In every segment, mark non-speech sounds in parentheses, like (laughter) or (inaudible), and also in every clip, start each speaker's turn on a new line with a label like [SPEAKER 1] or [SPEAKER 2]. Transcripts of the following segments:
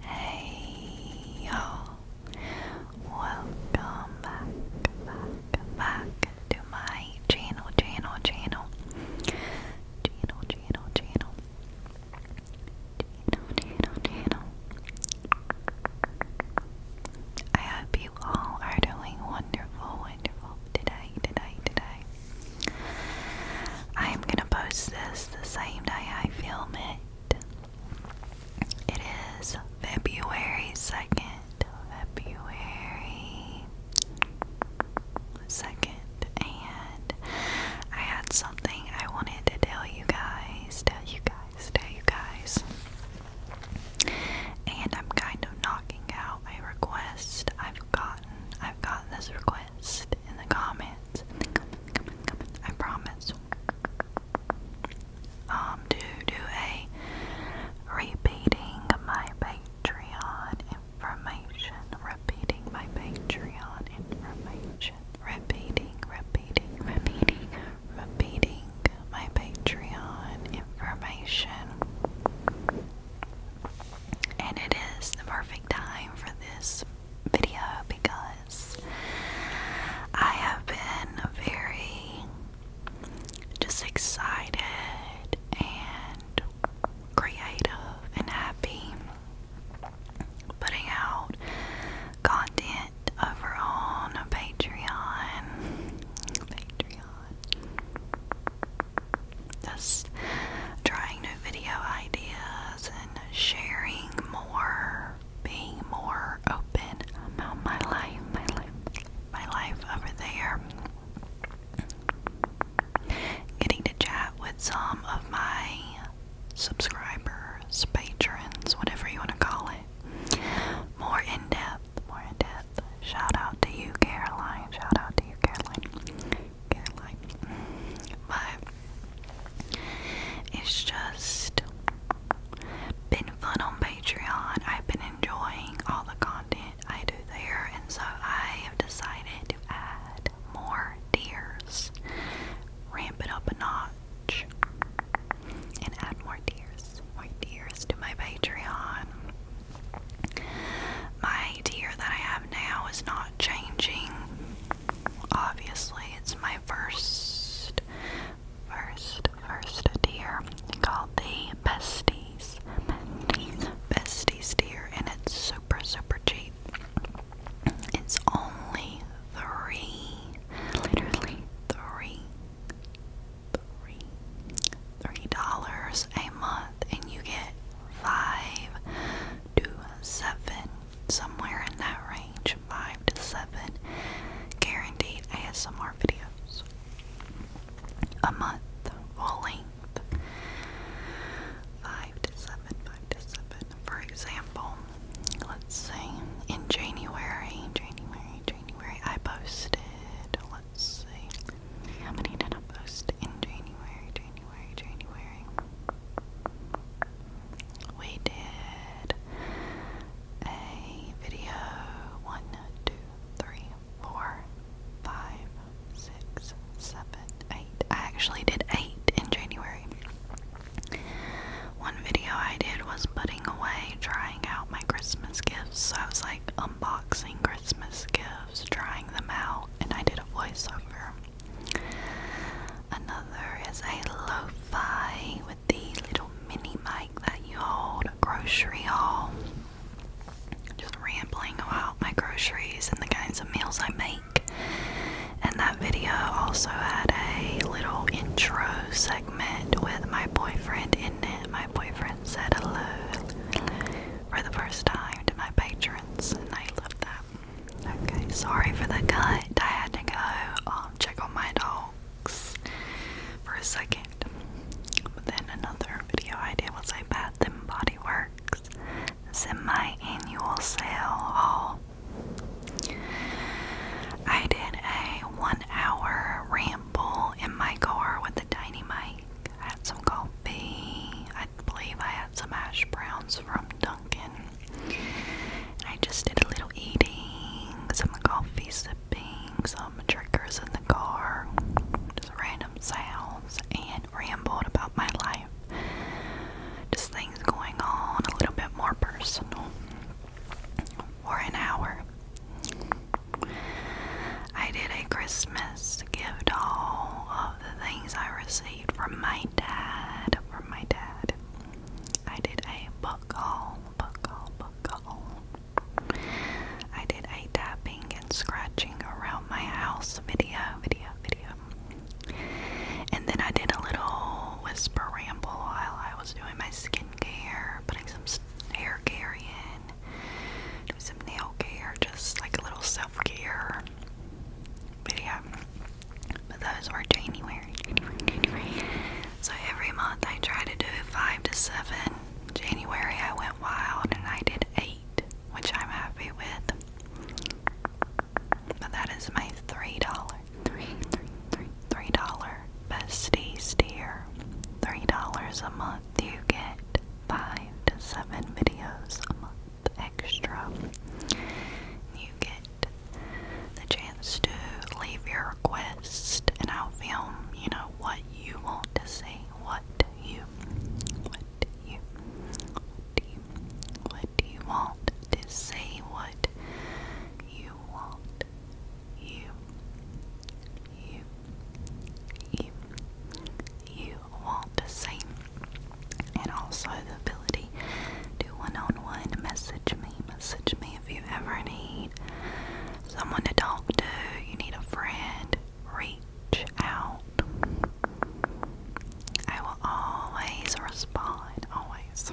[SPEAKER 1] Hey y'all! Welcome back, back, back to my channel, channel, channel, channel, channel, channel, channel, I hope you all are doing wonderful, wonderful today, today, today. I am gonna post this the same day I film it it is February 2nd. February 2nd. And I had something I wanted to tell you guys. Tell you guys. Tell you guys. And I'm kind of knocking out my request. I've gotten I've gotten this request in the comments. I promise. to um, do a repeating my Patreon information, repeating my Patreon information, repeating, repeating, repeating, repeating my Patreon information. And it is the perfect time for this video because I have been very just excited and creative and happy putting out content over on Patreon. Patreon. Just trying new video ideas sharing more, being more open about my life, my life, my life over there. Getting to chat with some of my subscribers, patrons, whatever you want to call it. More in depth, more in depth. Shout out to you, Caroline. Shout out to you, Caroline. Caroline. But it's just been fun on Patreon. I've been enjoying all the content I do there, and so I have decided to add more dears, ramp it up a notch, and add more dears, more dears to my Patreon. My tier that I have now is not changing. Obviously, it's my first, first, first deer called the Besties. Besties, Besties and it's super, super cheap. It's only three, literally three, three, three dollars a month, and you get five to seven somewhere in that range, five to seven guaranteed ASMR videos a month, full length. Five to seven, five to seven. For example, let's say in January, January, January, I posted, let's say, how many did I post in January, January, January? We did a video one, two, three, four, five, six, seven, eight. I actually did eight in January. One video I did was putting away, trying out my Christmas gifts. So I was like unboxing Christmas gifts, trying them out, and I did a voiceover. Another is a lo-fi with the little mini mic that you hold, a grocery haul. Just rambling about my groceries and the kinds of meals I make. And that video also had a little intro segment with my boyfriend in it. My boyfriend said hello for the first time to my patrons, and they loved that. Okay, sorry for the cut. I had to go um, check on my dogs for a second. But then another video I did was a Bath and Body Works semi-annual sale haul. I did a one-hour ramble in my car with a tiny mic. I had some coffee. I believe I had some hash browns from Dunkin'. And I just did a little eating, some coffee sipping, some drinkers in the car, just random sounds, and rambled about my life. Just things going on, a little bit more personal. For an hour. I did a Christmas gift haul of the things I received from my dad. From my dad. I did a book haul, book I did a tapping and scratching around my house video, video, video. And then I did a little whisper ramble while I was doing my skincare, putting some hair care in, doing some nail care, just like a little self care video. But those were January, January, January. So every month I try to do five to seven. January I went wild and I did eight, which I'm happy with. But that is my three dollar, three, three, three, three dollar bestie steer. Three dollars a month you get five to seven videos a month extra. You get the chance to leave your request, and I'll film, you know, what you want to say. What you, what you, what do you, want to say? What you want, you, you, you, you want to see, and also the do one on one. Message me. Message me if you ever need someone to talk to. You need a friend. Reach out. I will always respond. Always.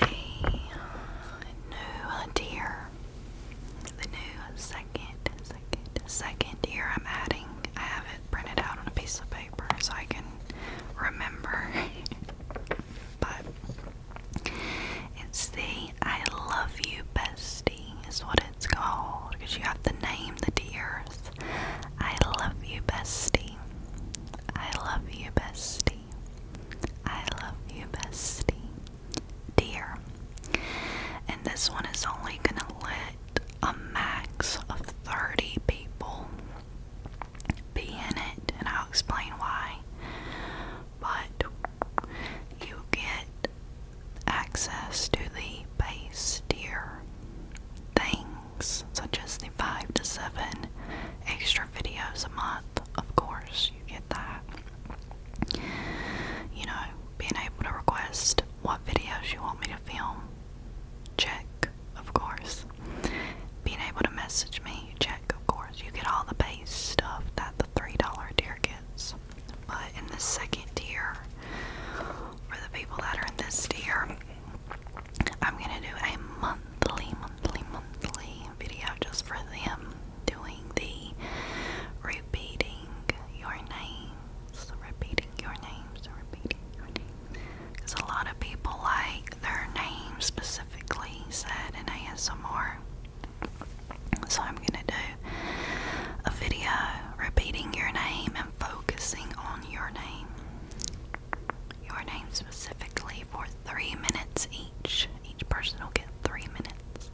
[SPEAKER 1] the new tier, the new second, second, second tier I'm adding, I have it printed out on a piece of paper so I can remember. (laughs) but it's the I Love You Bestie, is what it's called, because you have to name the deers. I love you, bestie. I love you, bestie. I love you, bestie. Dear. And this one is only gonna let a max of 30 people be in it, and I'll explain why. But you get access to the base tier things, such as the 5 to 7 extra videos a month. Of course, you get that. You know, being able to request what videos you want me to film, check of course. Being able to message me, check, of course. You get all the base stuff that the $3 tier gets. But in the second tier, for the people that are in this tier, I'm gonna do a monthly, monthly, monthly video just for them doing the repeating your name names, repeating your names, repeating your names. Because a lot of people like their name specifically said and I have some more. So I'm going to do a video repeating your name and focusing on your name. Your name specifically for three minutes each. Each person will get three minutes.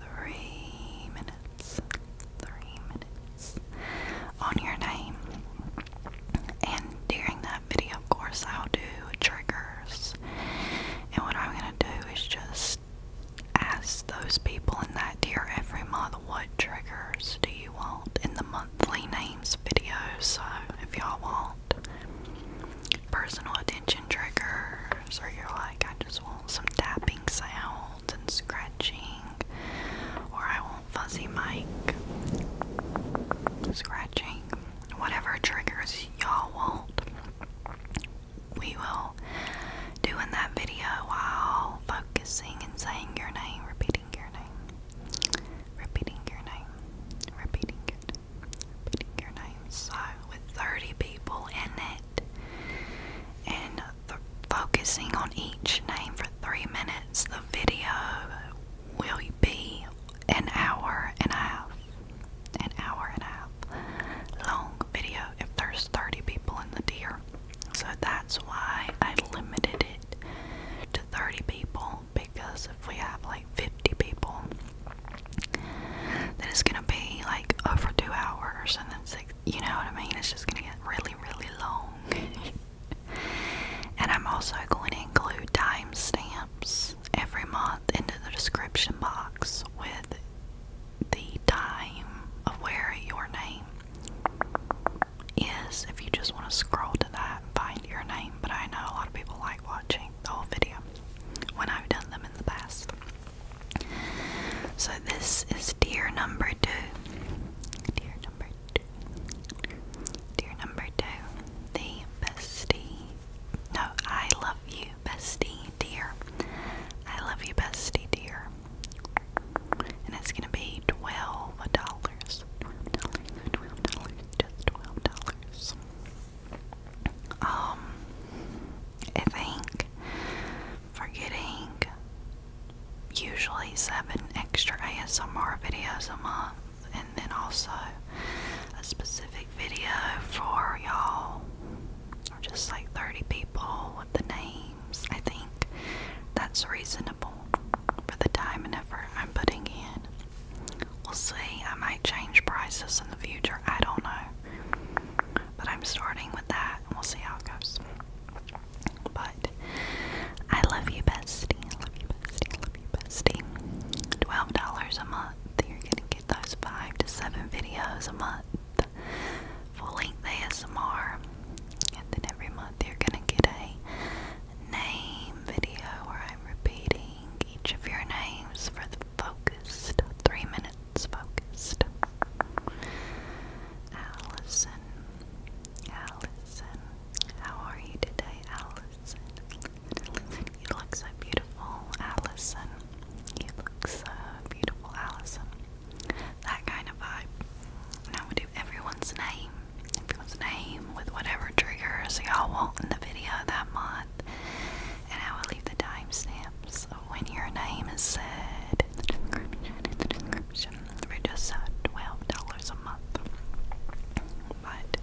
[SPEAKER 1] Three Three minutes three minutes on your name. And during that video, of course, I'll do triggers. And what I'm going to do is just ask those people in that tier every month what triggers do you want in the monthly names video. So if y'all want personal attention triggers, or you're like, I just want some tapping sounds and scratching, or I want fuzzy mic scratching, whatever triggers y'all want, we will do in that video while focusing and saying your name, repeating your name, repeating your name, repeating your name, repeating your name. So, with 30 people in it, and focusing on each name for three minutes. The video will be an hour and a half. An hour and a half long video if there's 30 people in the tier. So that's why I limited it to 30 people because if we have like 50 people, then it's gonna be like over two hours and then six. You know what I mean? It's just gonna get really, really long. (laughs) and I'm also going to include timestamps every month into the description box with the time of where your name is if you just want to scroll to that and find your name. But I know a lot of people like watching the whole video when I've done them in the past. So this is deer number two. Deer Dear number two, the bestie. No, I love you, bestie, dear. I love you, bestie, dear. And it's gonna be twelve dollars, just twelve dollars. Um, I think forgetting usually seven extra ASMR videos a month, and then also a specific video for y'all, or just like 30 people with the names. I think that's reasonable for the time and effort I'm putting in. We'll see, I might change prices in the future, I don't know. But I'm starting with that, and we'll see how it goes. But I love you, bestie. I love you, bestie. I love you, bestie. Twelve dollars a month. You're gonna get those five to seven videos a month, full-length ASMR, and then every month you're gonna get a name video where I'm repeating each of your names for the focused three minutes. Focused. Allison. Allison, how are you today, Allison? You look so beautiful, Allison. You look so beautiful, Allison. That kind of vibe. I would do everyone's name, everyone's name with whatever triggers y'all want in the video that month. And I will leave the timestamps when your name is said in the description we're just at uh, $12 a month. But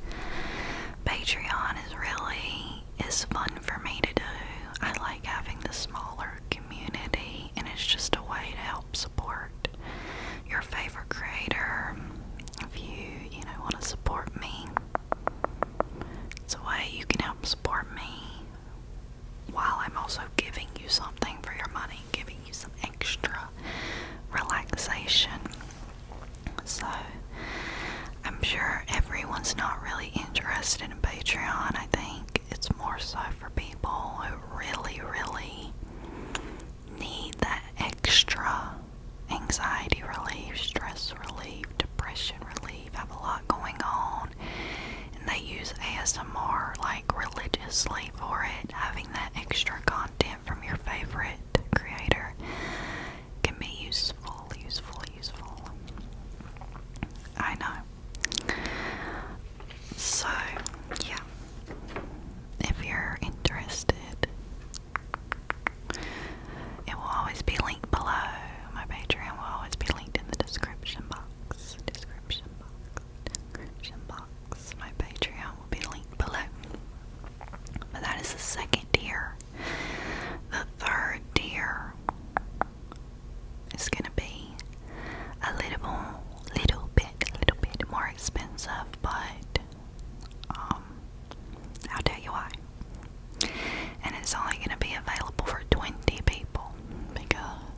[SPEAKER 1] Patreon is really is fun for me to do. I like having the smaller community and it's just a way to help support your favorite creator. If you, you know, want to support me. It's a way you can help support me while I'm also giving you something for your money, giving giving some extra relaxation. So, I'm sure everyone's not really interested in Patreon. I think it's more so for people who really, really need that extra anxiety relief, stress relief, depression relief, have a lot going on. And they use ASMR like religiously for it. Having that extra content from your favorite creator can be useful, useful, useful. I know. So, yeah. If you're interested, it will always be linked below. My Patreon will always be linked in the description box. Description box. Description box. My Patreon will be linked below. But that is the second tier. The third tier is gonna be a little, little bit, little bit more expensive, but um, I'll tell you why. And it's only gonna be available for 20 people because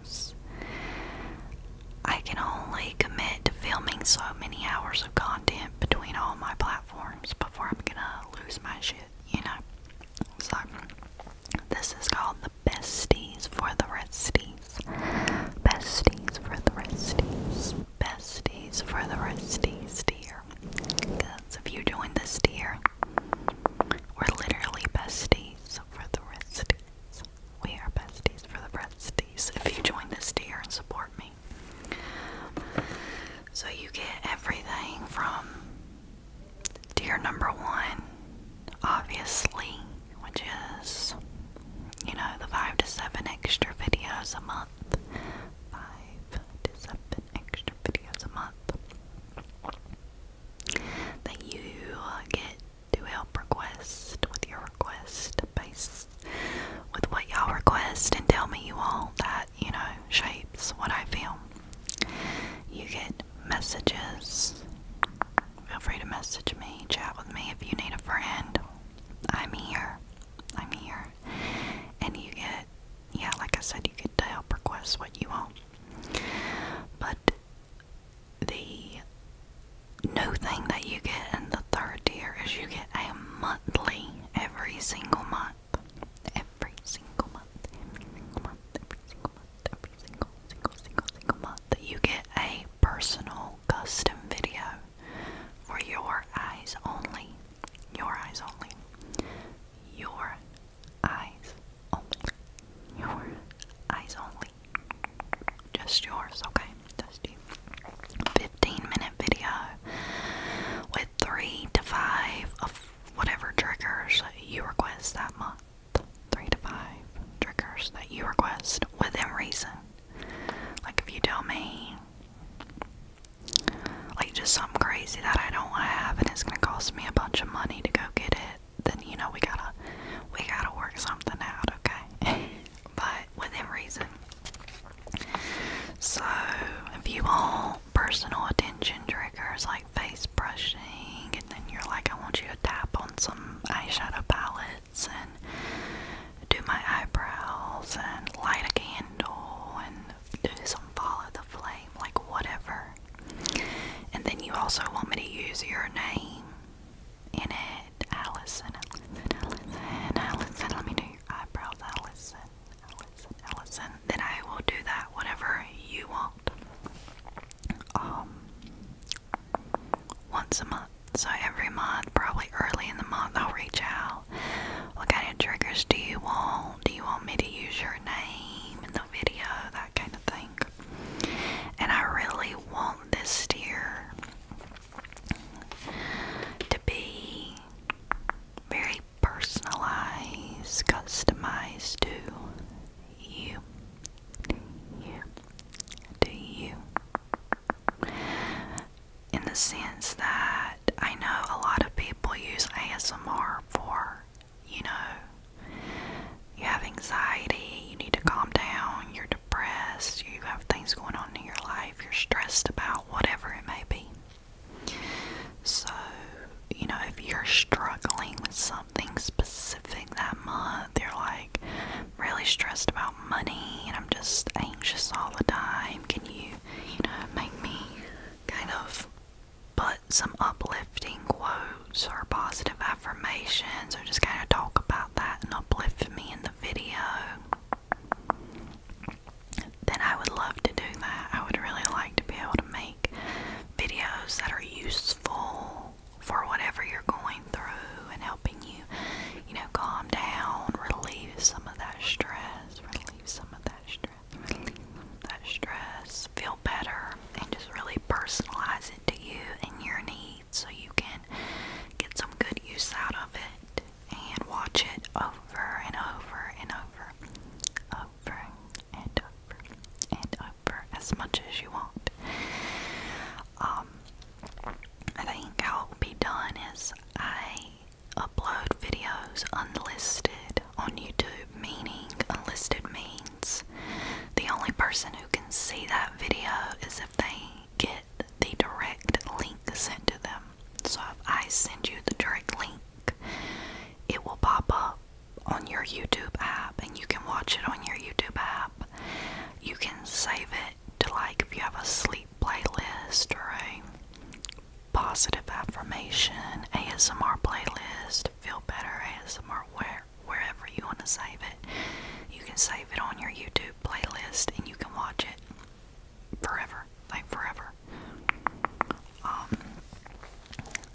[SPEAKER 1] I can only commit to filming so many hours of content between all my platforms before I'm gonna lose my shit, you know? So, this is called the besties for the resties. Besties for the resties. Besties for the resties, dear. Because if you join the steer, we're literally besties for the resties. We are besties for the besties if you join this tier and support me. So you get everything from tier number one, obviously, which is, you know, the five to seven extra videos a month. Five to seven extra videos a month that you get do help request with your request based with what y'all request and tell me you all that, you know, shapes what I feel. You get messages. Feel free to message me, chat with me if you need a friend. I'm here. I'm here. And you get, yeah, like I said, you get to help request what you want. But the new thing that you get in the third tier is you get a monthly every single month. Every single month. Every single month. Every single month. Every single single single single month that you get a personal custom video for your eyes only. Your eyes only. Your eyes only. Your eyes only. Just yours, okay? Just you. 15 minute video with three to five of whatever triggers you request that month. Three to five triggers that you request within reason. Like if you tell me, like just something crazy that I don't have and it's gonna cost me a bunch of money to go get it, then you know we gotta we gotta work something out, okay? (laughs) but within reason. So, if you want personal attention triggers like face brushing, and then you're like, I want you to tap on some eyeshadow palettes and do my eyebrows and light a candle and do some follow the flame, like whatever. And then you also want me to use your name in it head, Allison, Allison, let me do your eyebrows, Allison, Allison, Allison, then I will do that, whenever you want, um, once a month, so every month, probably early in the month, I'll reach out, what kind of triggers do you want, do you want me to use your name in the video, that kind of thing, and I really want this year to be very personalized, customized to you, you, to you. In the sense that I know a lot of people use ASMR for, you know, you have anxiety, you need to calm down, you're depressed, you have things going on in your life, you're stressed about whatever it may be. So, you know, if you're struggling with something specific that month, you're like really stressed about money and I'm just anxious all the time, can you, you know, make me kind of put some uplifting quotes or positive affirmations or just kind of talk about that and uplift me in the? video, then I would love to do that. I would really like to be able to make videos that are useful for whatever you're going through and helping you, you know, calm down, relieve some of that stress, relieve some of that stress, relieve some of that stress, feel better, and just really personalize it to you and your needs feed so you can get some good use out of it and watch it over and over and over, over and over and over as much as you want. Um, I think how it will be done is I upload videos unlisted on YouTube, meaning unlisted means the only person who can see that video is if they get the direct link sent to them. So if I send you the direct link, it will pop up on your YouTube app and you can watch it on your YouTube app. You can save it to like if you have a sleep playlist or a positive affirmation ASMR playlist, feel better ASMR where wherever you want to save it. You can save it on your YouTube playlist and you can watch it forever, like forever. Um,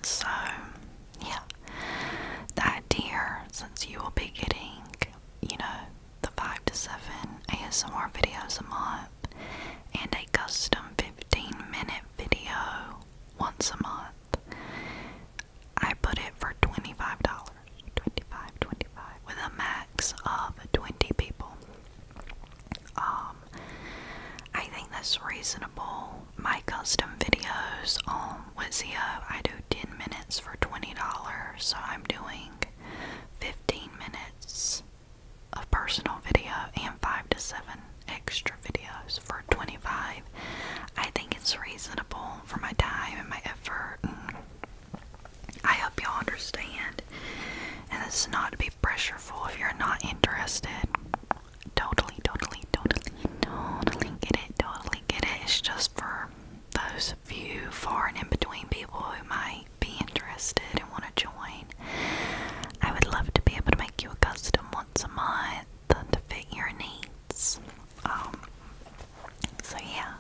[SPEAKER 1] so, yeah, that idea since you will be getting, you know, the 5 to 7 ASMR videos a month and a custom 15 minute video once a month, I put it for $25. 25 with a max of 20 people um i think that's reasonable my custom videos on um, Wizio i do 10 minutes for $20 so i'm doing 15 minutes of personal video and 5 to 7 extra videos for 25 i think it's reasonable for my time and my effort I hope y'all understand. And this is not to be pressureful if you're not interested. Totally, totally, totally, totally get it, totally get it. It's just for those few far and in between people who might be interested and want to join. I would love to be able to make you a custom once a month to fit your needs. Um, so yeah,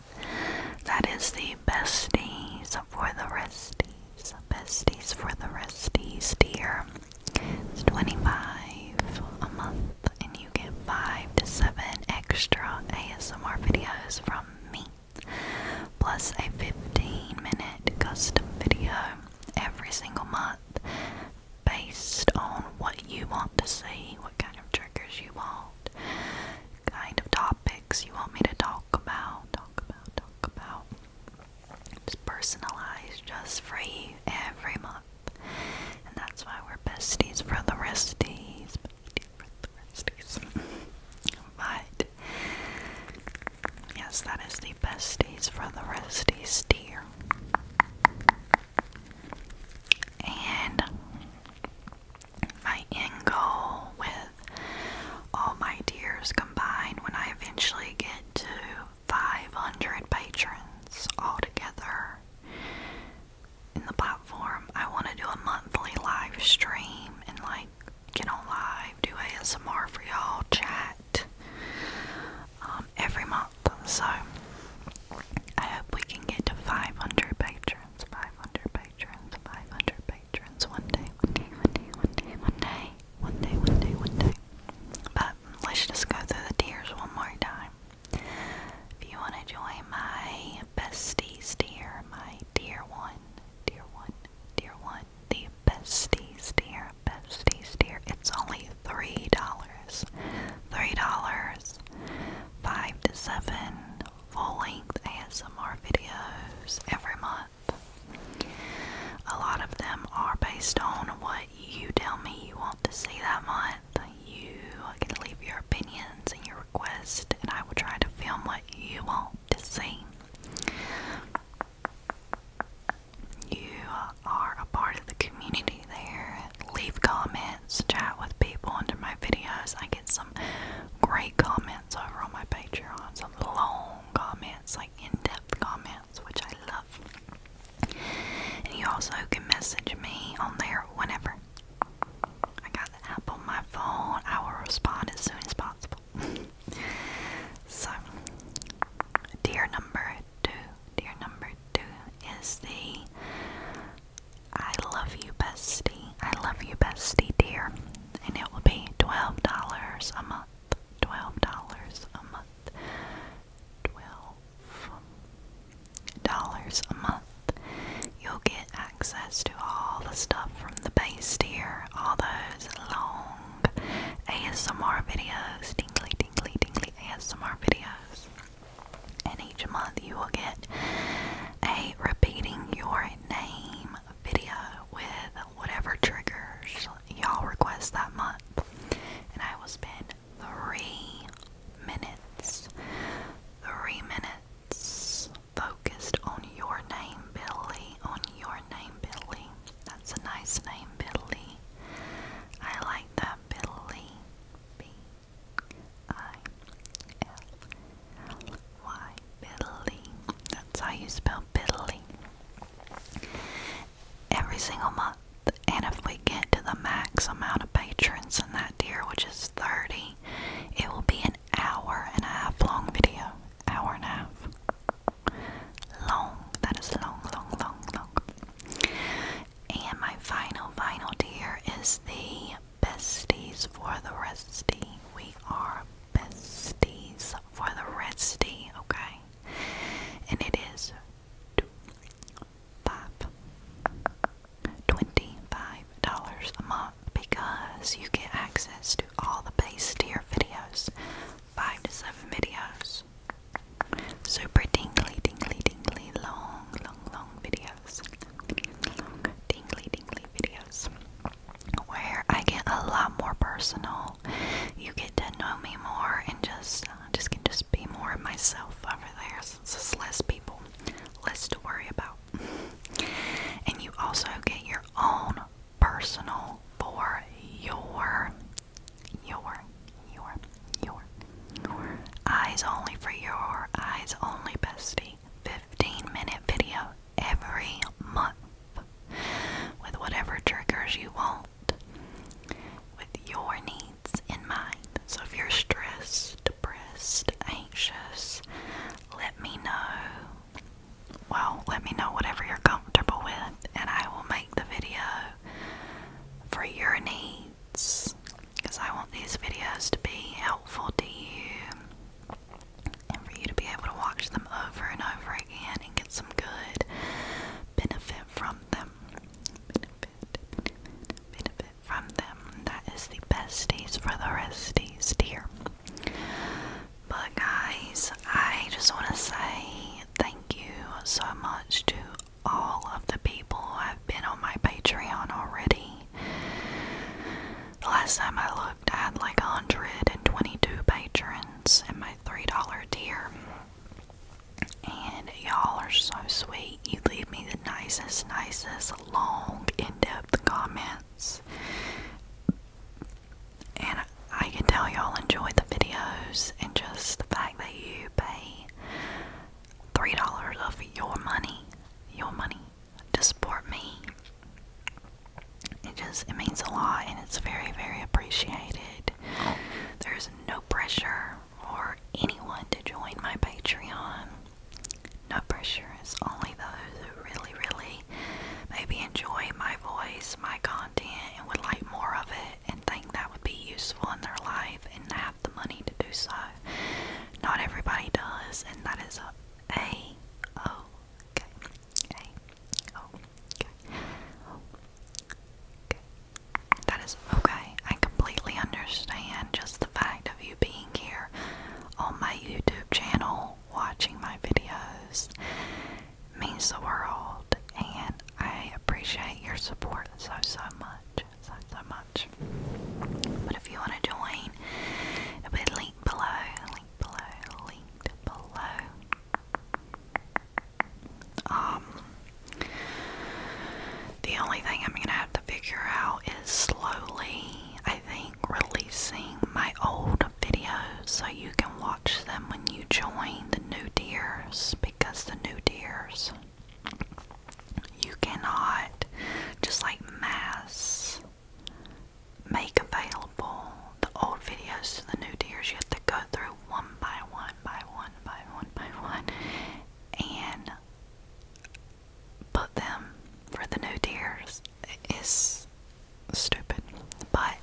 [SPEAKER 1] that is the besties for the resties. Besties for the resties, dear. It's 25 a month, and you get 5 to 7 extra ASMR videos from me, plus a 15 minute custom video every single month based on what you want to see, what kind of triggers you want, kind of topic you want me to talk about, talk about, talk about. It's personalized just free every month. And that's why we're besties for the resties. Besties for the resties. (laughs) but, yes, that is the besties for the resties tier. And my end goal with all my tears combined when I eventually get to 500 patrons altogether in the platform. I want to do a monthly live stream and like get on live, do ASMR for y'all, chat um, every month. So I hope we can get to 500 patrons patrons, 500 patrons, 500 patrons. One day, one day, one day, one day, one day, one day, one day, one day. But let's just go through the tiers one more time. If you want to join my besties tier, my tier one, tier one, tier one, the besties tier, besties tier, it's only $3. $3. Five to seven full length ASMR videos every month. A lot of them are based on what you tell me you want to see that month. You can leave your opinions and your requests, and I will try to film what you want to see. You are a part of the community there. Leave comments, chat with people under my videos. I get some great comments comments over on my Patreon. Some long comments, like in-depth comments, which I love. And you also can message me on there whenever. I got the app on my phone. I will respond as soon as possible. (laughs) so, dear number two, dear number two is the I love you, bestie. I love you, bestie, dear. And it will be $12 a month. $12 a month. $12 a month. You'll get access to all the stuff from the base tier, all those long ASMR videos, tingly, tingly, tingly ASMR videos. And each month you will get a repeating your name video with whatever triggers y'all request that month, and I will spend three minutes, three minutes focused on your name, Billy, on your name, Billy. That's a nice name, Billy. I like that, Billy. B I L L Y. Biddly. That's how you spell Biddly. Every single month. And if we get to the max amount of patrons in that tier, which is 30, it will be an hour and a half long video. Hour and a half. Long. That is long, long, long, long. And my final, final dear is the besties for the resty. We are besties for the resty, okay? And it is two, five, twenty-five dollars a month because you get access to all the base tier videos, five to seven videos, super tingly, tingly, tingly, long, long, long videos, long, tingly, tingly videos where I get a lot more personal. You get to know me more and just uh, just can just be more of myself over there since it's less people, less to worry about. (laughs) and you also get your own personal for your your your your eyes only for your eyes only bestie. 15 minute video every month with whatever triggers you want with your needs in mind. So if you're stressed, depressed, anxious, let me know. Well, let me know whatever you're comfortable with, and I will make the video for your needs because I want these videos to be helpful to you and for you to be able to watch them over and over again and get some good benefit from them. Benefit, from them. That is the best days for the rest days, dear. But, guys, I just want to say thank you so much to all of the people who have been on my Patreon already. The last time I I had like 122 patrons and my $3 tier. And y'all are so sweet. You leave me the nicest, nicest, long, in depth comments. And I can tell y'all enjoy the videos and just the fact that you pay $3 of your money, your money, to support me. It just it means a lot and it's very, very appreciated. There's no pressure for anyone to join my Patreon. No pressure. It's only those who really, really maybe enjoy my voice, my content, and would like more of it and think that would be useful in their life and have the money to do so. Not everybody does, and that is a, okay. Okay. Oh. Okay. That is okay. I completely understand just the fact of you being here on my YouTube channel watching my videos means the world and I appreciate your support so so much. So so much. But if you want to join it'll below, below, linked below. Um, the only thing I'm gonna have to figure out is slowly, I think, releasing my old videos so you can watch them when you join the new tiers because the new tiers you cannot just like mass make available the old videos to the new deers. You have to go through one by one, by one, by one, by one, and put them for the new deers. It's stupid, but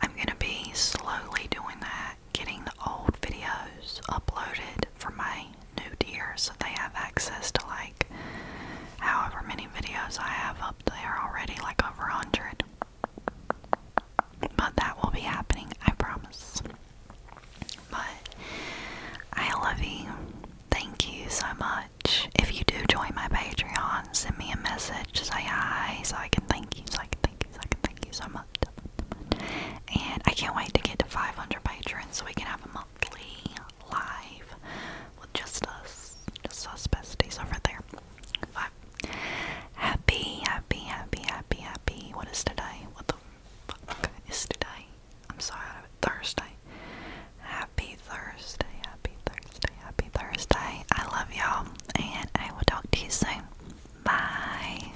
[SPEAKER 1] I'm gonna be slowly doing that, getting the old videos uploaded for my new deer so they have access to like however many videos I have they are already, like over 100. But that will be happening, I promise. But I love you. Thank you so much. If you do join my Patreon, send me a message, say hi, so I can thank you, so I can thank you, so I can thank you so much. And I can't wait to get to 500 patrons so we can have a monthly live with just us, just us besties over there. But happy, happy, happy, happy, happy. What is today? What the fuck is today? I'm sorry, Thursday. Happy Thursday, happy Thursday, happy Thursday. I love y'all, and I will talk to you soon. Bye.